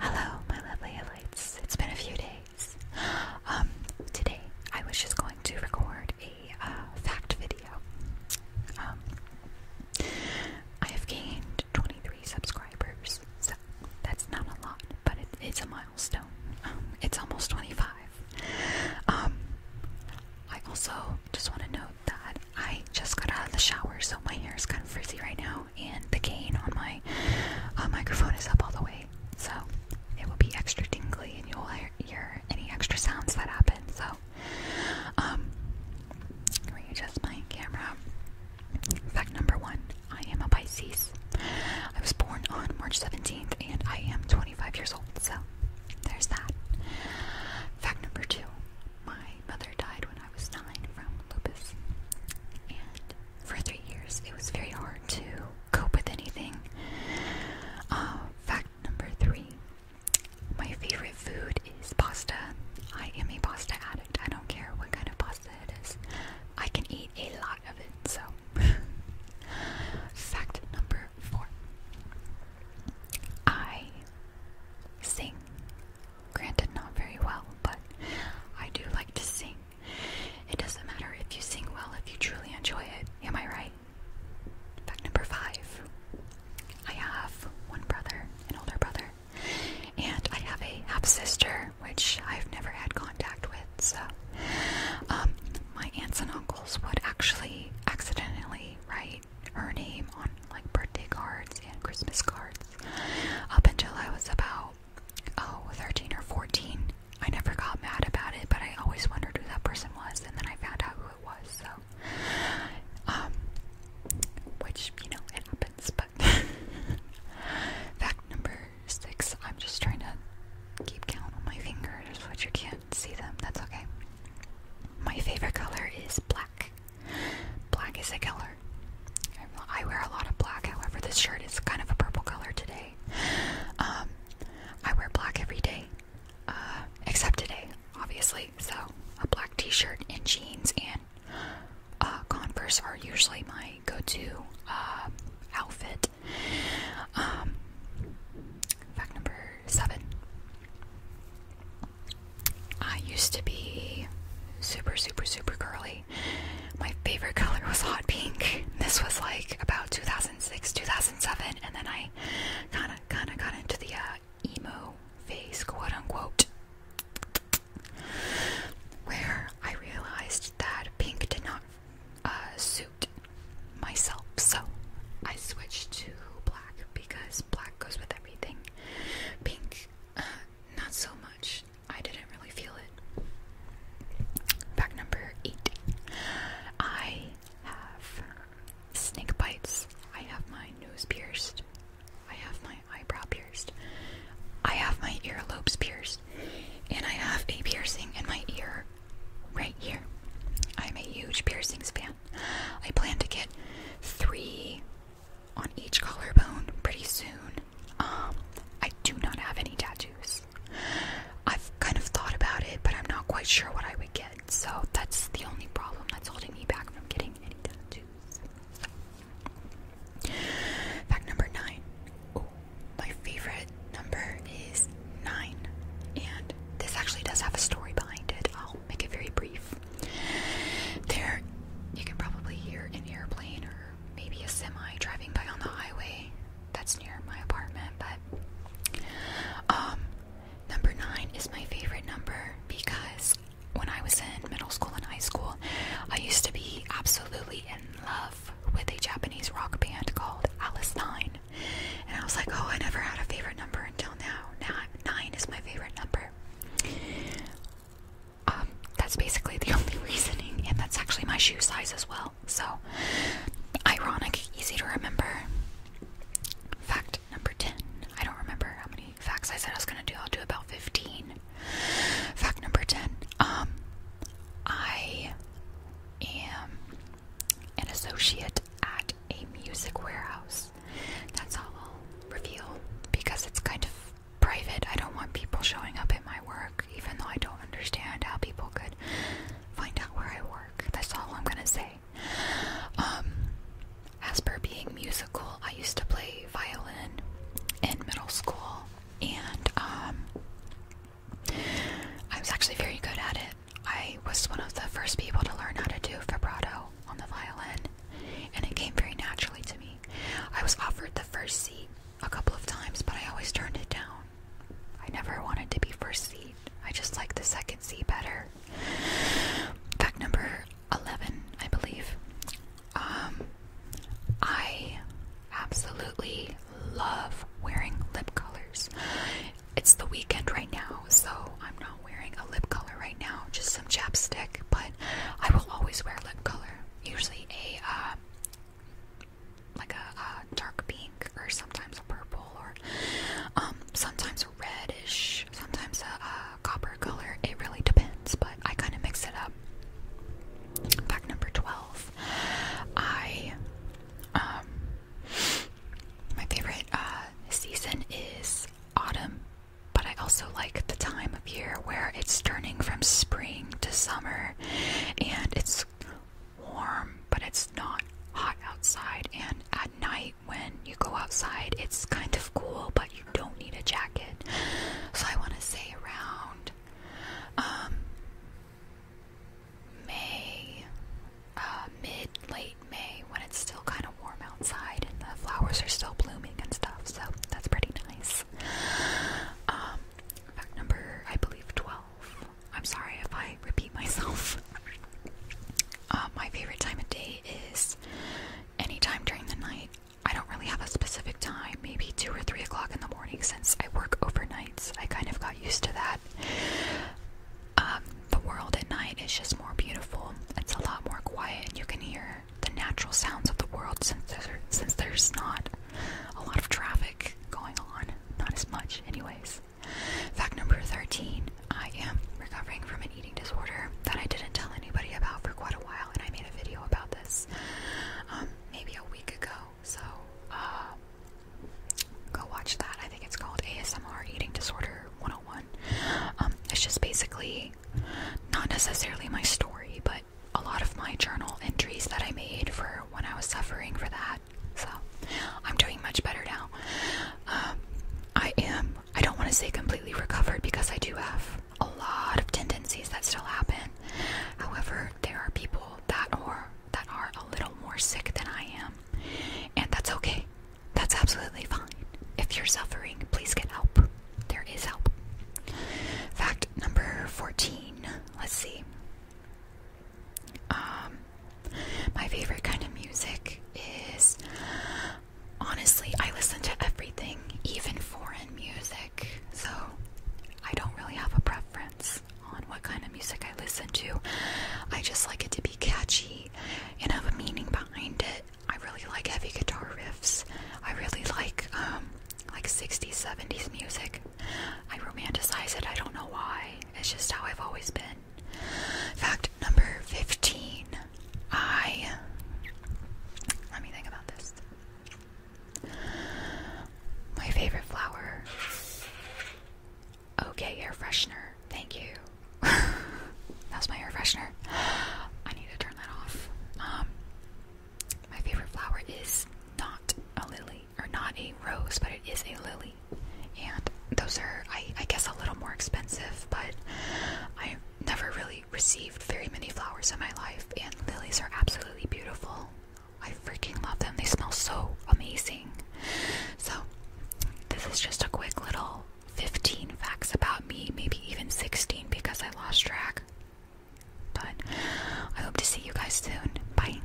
Hello, my lovely lights. It's been a few days. Um, today I was just going to record a uh, fact video. Um, I have gained 23 subscribers, so that's not a lot, but it's a milestone. Um, it's almost 25. Um, I also just want to note that I just got out of the shower, so my hair is kind of frizzy right now, and the gain on my uh, microphone is up all the way, so it will be extra tingly, and you'll hear any extra sounds that happen. So, um, readjust my camera. Fact number one: I am a Pisces. I was born on March 17th, and I am 25 years old. So, there's that. Fact number two. My mother died when I was nine from lupus, and for three years it was very hard to cope with anything. Uh, fact number three my favorite food is pasta. I am a pasta addict, I don't care what kind of pasta it is, I can eat a lot of it. So, fact number four I sing. Granted, not very well, but I do like to sing. It doesn't matter if you sing well if you truly enjoy it. Am I right? Fact number five I have one brother, an older brother, and I have a half sister, which I've never had contact with. So, um, my aunts and uncles would actually accidentally write her name on like birthday cards and Christmas cards up until I was about oh or 14. I never got mad about it, but I always wondered who that person was, and then I found out who it was. So, um, which you know it happens. But fact number six, I'm just trying to keep count on my fingers, but you can't see them. That's okay. My favorite color is black. Black is a color. I wear a lot of black, however, this shirt is kind of a purple color today. Um, I wear black every day, uh, except today, obviously. So, a black t shirt and jeans and uh, Converse are usually my go to uh, outfit. Um, fact number seven I used to be super, super, super curly. My favorite color was hot pink. This was like about 2006, 2007, and then I kind of, kind of got into the uh, emo phase, quote unquote, where I realized that pink did not uh, suit myself, so I switched to black because black goes with everything. Pink, uh, not so much. I didn't really feel it. Fact number eight. I have snake bites. I have my nose pierced. I have my eyebrow pierced. I have my earlobes pierced. And I have a piercing in my ear right here. I'm a huge piercings fan. I plan to get three on each collarbone pretty soon. Um, I do not have any tattoos. I've kind of thought about it, but I'm not quite sure what I would get. So that's the only problem that's holding me back from getting any tattoos. Fact number nine my favorite number is nine, and this actually does have a story behind it. I'll make it very brief. There, you can probably hear an airplane or maybe a semi driving by on the highway that's near my apartment, but um, number nine is my favorite number because when I was in middle school and high school, I used to be absolutely in love with a Japanese rock band called Alice Nine. And I was like, oh, I never had a favorite number until now. Now nine is my favorite number. Um, that's basically the only reasoning, and that's actually my shoe size as well. So, ironic, easy to remember. Fact number 10. I don't remember how many facts I said I was gonna do, I'll do about 15. Fact number 10. Um, I am an associate at a music warehouse. That's all I'll reveal because it's kind of private. I don't want people showing up at my work, even though I don't understand how people could find out where I work. That's all I'm gonna say. Um, as per being musical, I used to play violin in middle school, and um, I was actually very good at it. I was one of the first people to learn how to do vibrato on the violin, and it came very naturally to me. I was offered the first seat a couple of times, but I always turned it down. I never wanted to be first seat. I just like the second seat better. Fact number 11, I believe. Um, I absolutely love wearing lip colors. It's the weekend right now, so I'm not wearing a lip color right now, just some chapstick, but I will always wear lip color. Usually a uh, like a, dark pink or sometimes a purple or um, sometimes a reddish, sometimes a copper color. It really depends, but I kind of mix it up. Fact number 12. I, um, my favorite uh, season is autumn, but I also like the time of year where it's turning from spring to summer and it's warm, but it's not hot outside. And at night, when you go outside, it's kind of cool, but you don't need a jacket. So I want to say around um, May, uh, mid, late May, when it's still kind of warm outside and the flowers are still blooming and stuff. So that's pretty nice. Um, fact number, I believe, 12. I'm sorry if I repeat myself. Uh, my favorite time of day is anytime during the night. I don't really have a specific time, maybe two or three o'clock in the morning since I work overnights. I kind of got used to that. Um, the world at night is just more beautiful. It's a lot more quiet, and you can hear the natural sounds of the world since since there's not a lot of traffic going on. Not as much, anyways. Fact number 13 I am recovering from an eating disorder that I didn't tell anybody about for quite a while and I made a video about this um, maybe a week ago. So uh, go watch that. I think it's called ASMR Eating Disorder 101. Um, it's just basically not necessarily my story, but a lot of my journal entries that I made for when I was suffering for that. So I'm doing much better now. Um, I am I don't want to say completely recovered because I do have a lot of tendencies that still happen. However, there are people that are that are a little more sick than I am, and that's okay. That's absolutely fine. If you're suffering, please get help. There is help. Fact number 14. Let's see. Um my favorite kind of music is honestly, I listen to everything, even foreign music. So I don't really have a preference on what kind of music I listen to. I just like it to be catchy and have a meaning behind it. I really like heavy guitar riffs. I really like um like 60s, 70s music. I romanticize it. I don't know why. It's just how I've always been. Fact number 15. I. Let me think about this. My favorite flower. Okay, air freshener. Thank you. That's my air freshener. I need to turn that off. Um, my favorite flower is not a lily, or not a rose, but it is a lily and those are, I, I guess, a little more expensive, but I never really received very many flowers in my life, and lilies are absolutely beautiful. I freaking love them, they smell so amazing. So, this is just a quick little 15 facts about me, maybe even 16 because I lost track. But I hope to see you guys soon. Bye.